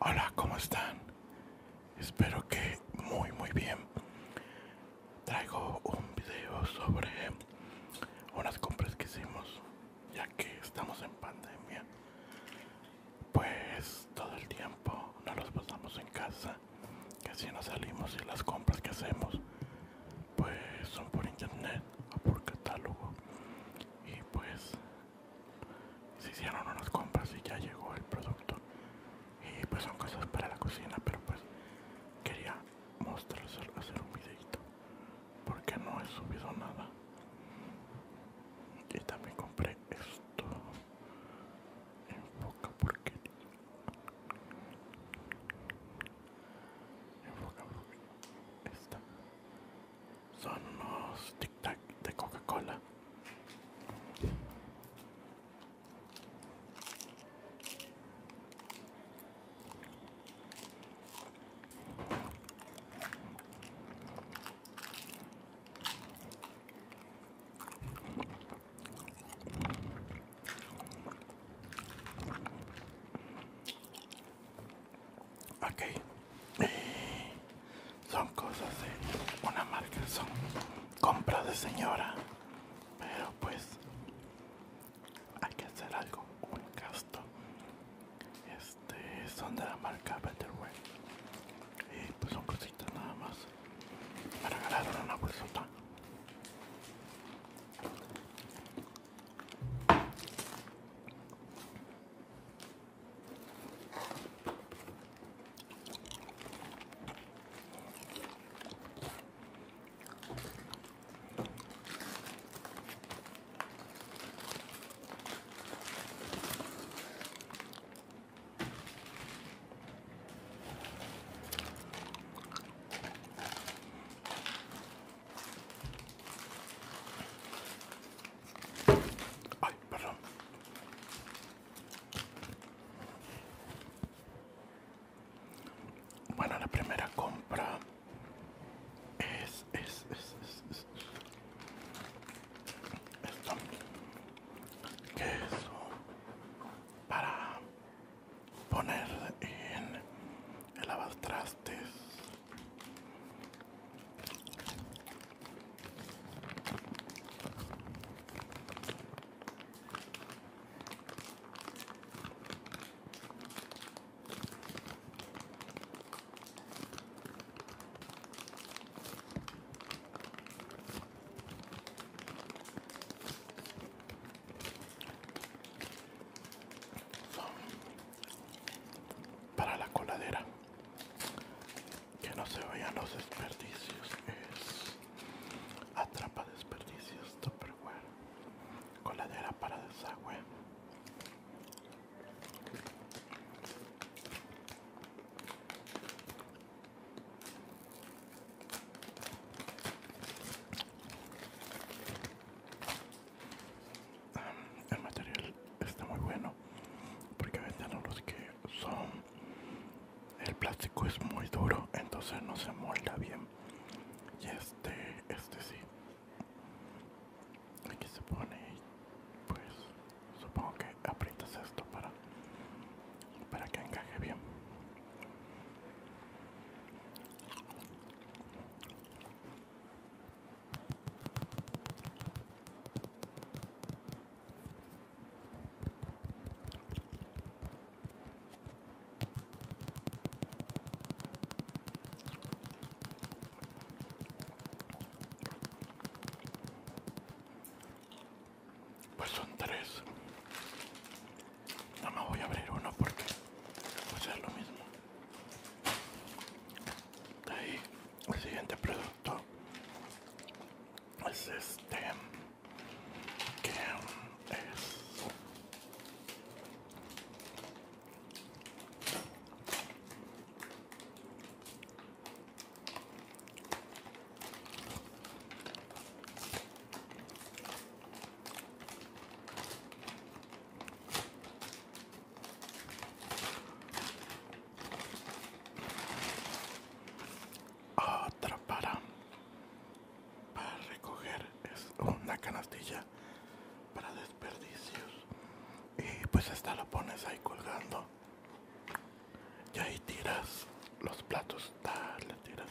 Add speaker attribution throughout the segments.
Speaker 1: Hola, ¿cómo están? Espero que muy muy bien. Traigo un video sobre unas compras que hicimos ya que estamos en pandemia pues todo el tiempo nos los pasamos en casa, que si no salimos y las compras que hacemos, pues son por internet o por catálogo. Y pues se hicieron unas compras y ya llegó el producto. Y pues son cosas para la cocina, pero pues quería mostrarles hacer un videito, porque no he subido nada y también compré esto en porque porquería en esta son unos tic tac de coca cola Ok. Son cosas de una marca, son compras de señora. Pero pues hay que hacer algo, un gasto este, son de la marca Betterway y pues son cositas nada más Para ganar una bolsota Ay, perdón. Bueno, la primera compra es, es, es, es, es. Esto. Queso para poner en el lavastrastes para la coladera. Que no se vayan los desperdicios. Es atrapa desperdicios Coladera para desagüe. El material está muy bueno porque venden los que son el plástico es muy duro entonces no se molda bien y este este sí aquí se pone pues supongo que aprietas esto para para que encaje bien pues son tres. No me voy a abrir uno porque a ser lo mismo. ahí el siguiente producto es este que es otra para para recoger es una canastilla para desperdicios y pues hasta lo pones ahí colgando y ahí tiras los platos tiras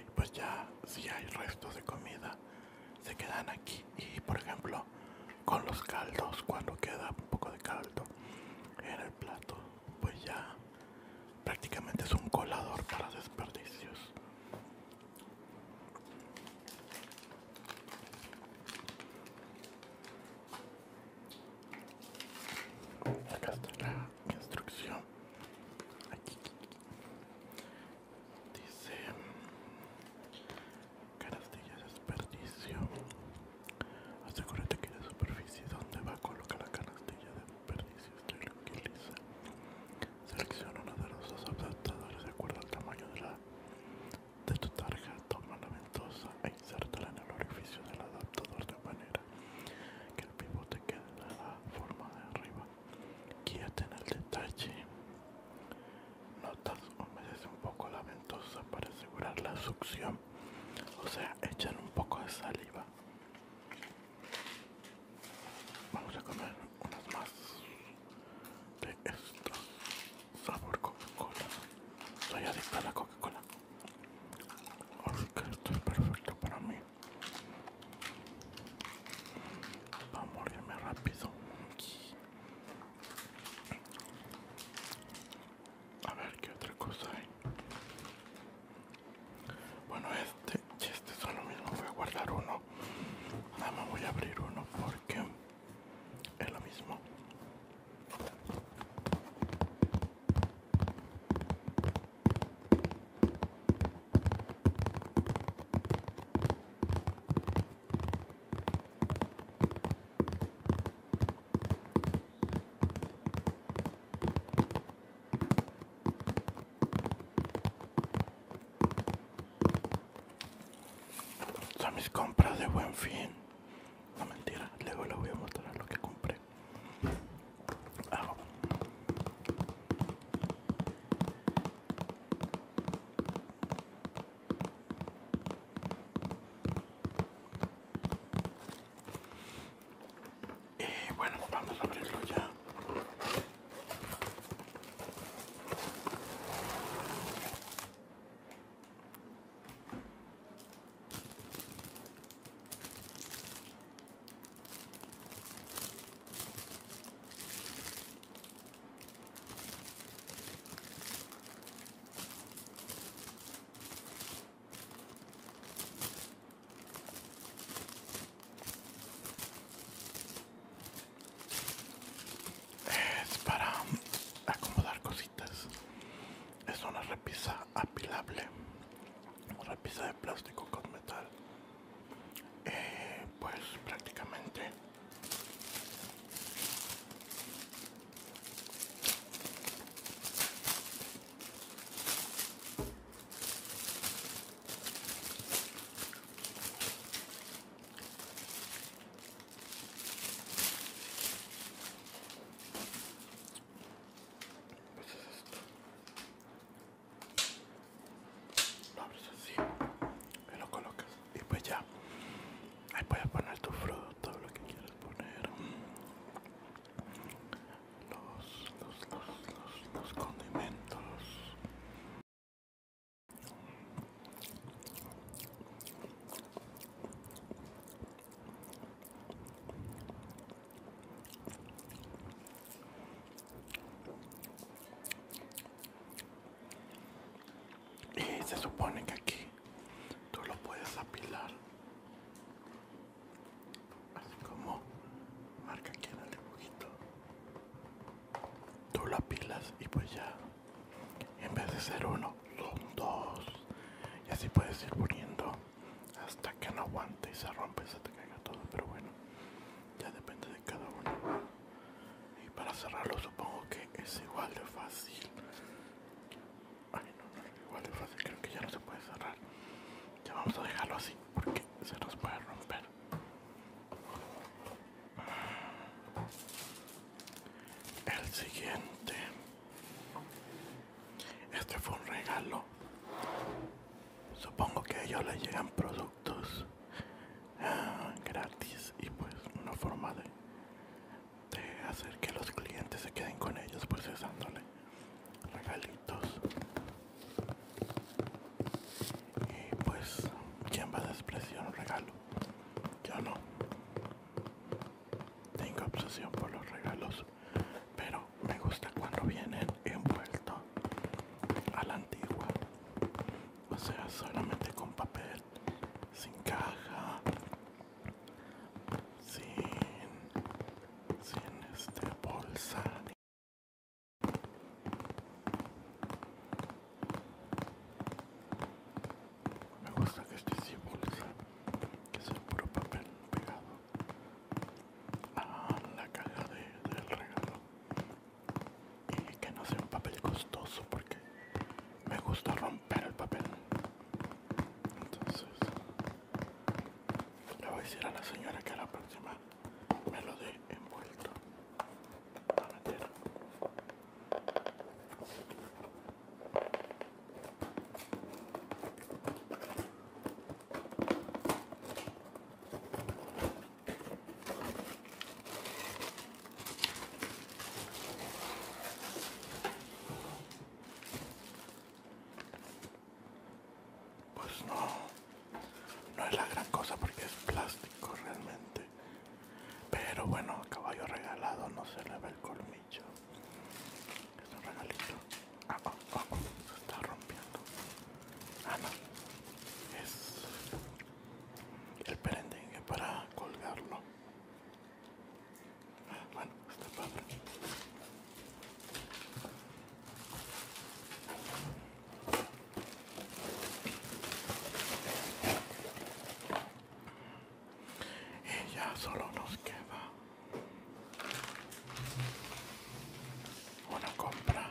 Speaker 1: y pues ya si hay restos de comida se quedan aquí y por ejemplo con los caldos cuando queda un poco de caldo en el plato pues ya prácticamente es un colador para desperdicios Acá está la instrucción. Aquí. Dice Canastilla de desperdicio. Asegúrate que la superficie donde va a colocar la canastilla de Selecciona uno de los dos adaptadores de acuerdo al tamaño de, la, de tu tarjeta, Toma la ventosa e insértala en el orificio del adaptador de manera que el pivote quede en la forma de arriba. quíate en el detalle. Notas, humedece un poco la ventosa para asegurar la succión. O sea, echan un poco de saliva. Vamos a comer unas más de estos sabor Coca-Cola. estoy adicta a la Coca-Cola. Porque esto es perfecto para mí. Va a morirme rápido. A ver qué otra cosa hay. Bueno, este este son lo mismo. Voy a guardar uno. Nada más voy a abrir uno porque es lo mismo. Son mis compras de buen fin. No mentira, luego les voy a mostrar lo que compré. Ah, y bueno, vamos a abrirlo ya. Es para acomodar cositas. Es una repisa apilable. repisa de plástico con metal. Eh, pues prácticamente lo abres así me lo colocas y pues ya ahí puedes poner tu fruto, todo lo que quieras poner los, los, los, condimentos y se supone que aquí tú lo puedes apilar así como marca aquí en el dibujito tú lo apilas y pues ya en vez de ser uno son dos y así puedes ir poniendo hasta que no aguante y se rompe y se te caiga todo pero bueno ya depende de cada uno y para cerrarlo supongo que es igual de fácil Ay, no, igual de fácil, creo que ya no se puede cerrar. Ya vamos a dejarlo así porque se nos puede romper. El siguiente. Este fue un regalo. Supongo que a ellos les llegan productos ah, gratis y pues una forma de de hacer que los clientes se queden con ellos pues dándole regalitos y pues quién va a despreciar un regalo yo no tengo obsesión por los regalos pero me gusta cuando vienen envueltos a la antigua o sea solamente con papel sin caja sin, este bolsa. Me gusta que esté sin bolsa, que es puro papel pegado a la caja del regalo y que no sea un papel costoso porque me gusta romper el papel. Entonces, le voy a decir a la señora que la próxima me lo dé envuelto. Pues no, no es la gran cosa porque es plástico realmente. Pero bueno, caballo regalado no se le ve el colmillo. Es un regalito. Ah, oh, oh, oh, se está rompiendo. Ah, no. Es el perendengue para colgarlo. Bueno, ya solo nos queda una compra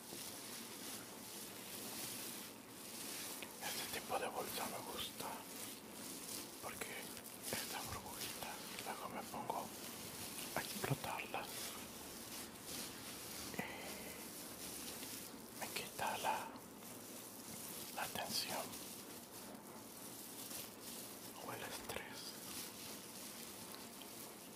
Speaker 1: Este tipo de bolsa me gusta porque estas burbujitas luego me pongo a explotarlas y eh, me quita la tensión o el estrés.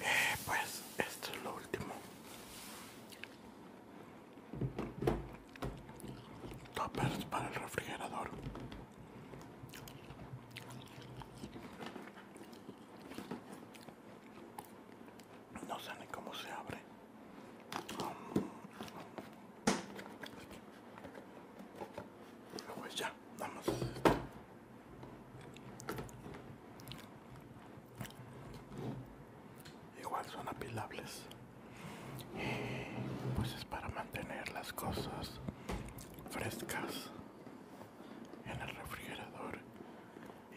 Speaker 1: Eh, pues esto es lo último. topers para el refrigerador. No sé ni cómo se abre. Um, pues ya, nada Igual son apilables. pues es para mantener las cosas frescas en el refrigerador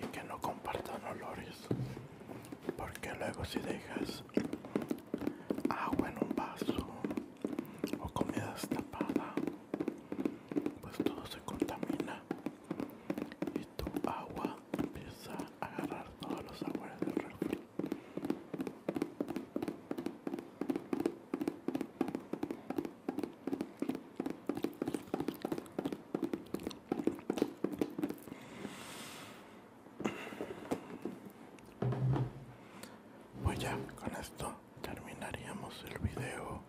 Speaker 1: y que no compartan olores porque luego si dejas agua en un vaso o comida destapada pues todo se contamina y tu agua empieza a agarrar todos los sabores del refrigerador pues ya, con esto terminaríamos el video.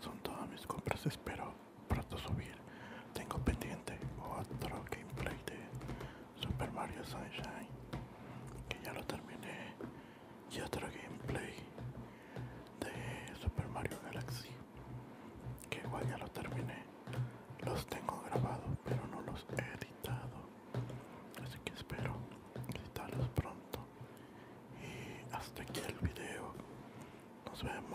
Speaker 1: Son todas mis compras, espero pronto subir. Tengo pendiente otro gameplay de Super Mario Sunshine, que ya lo terminé, y otro gameplay de Super Mario Galaxy, que igual ya lo terminé. Los tengo grabados, pero no los he editado, así que espero editarlos pronto. Y hasta aquí el video. Nos vemos.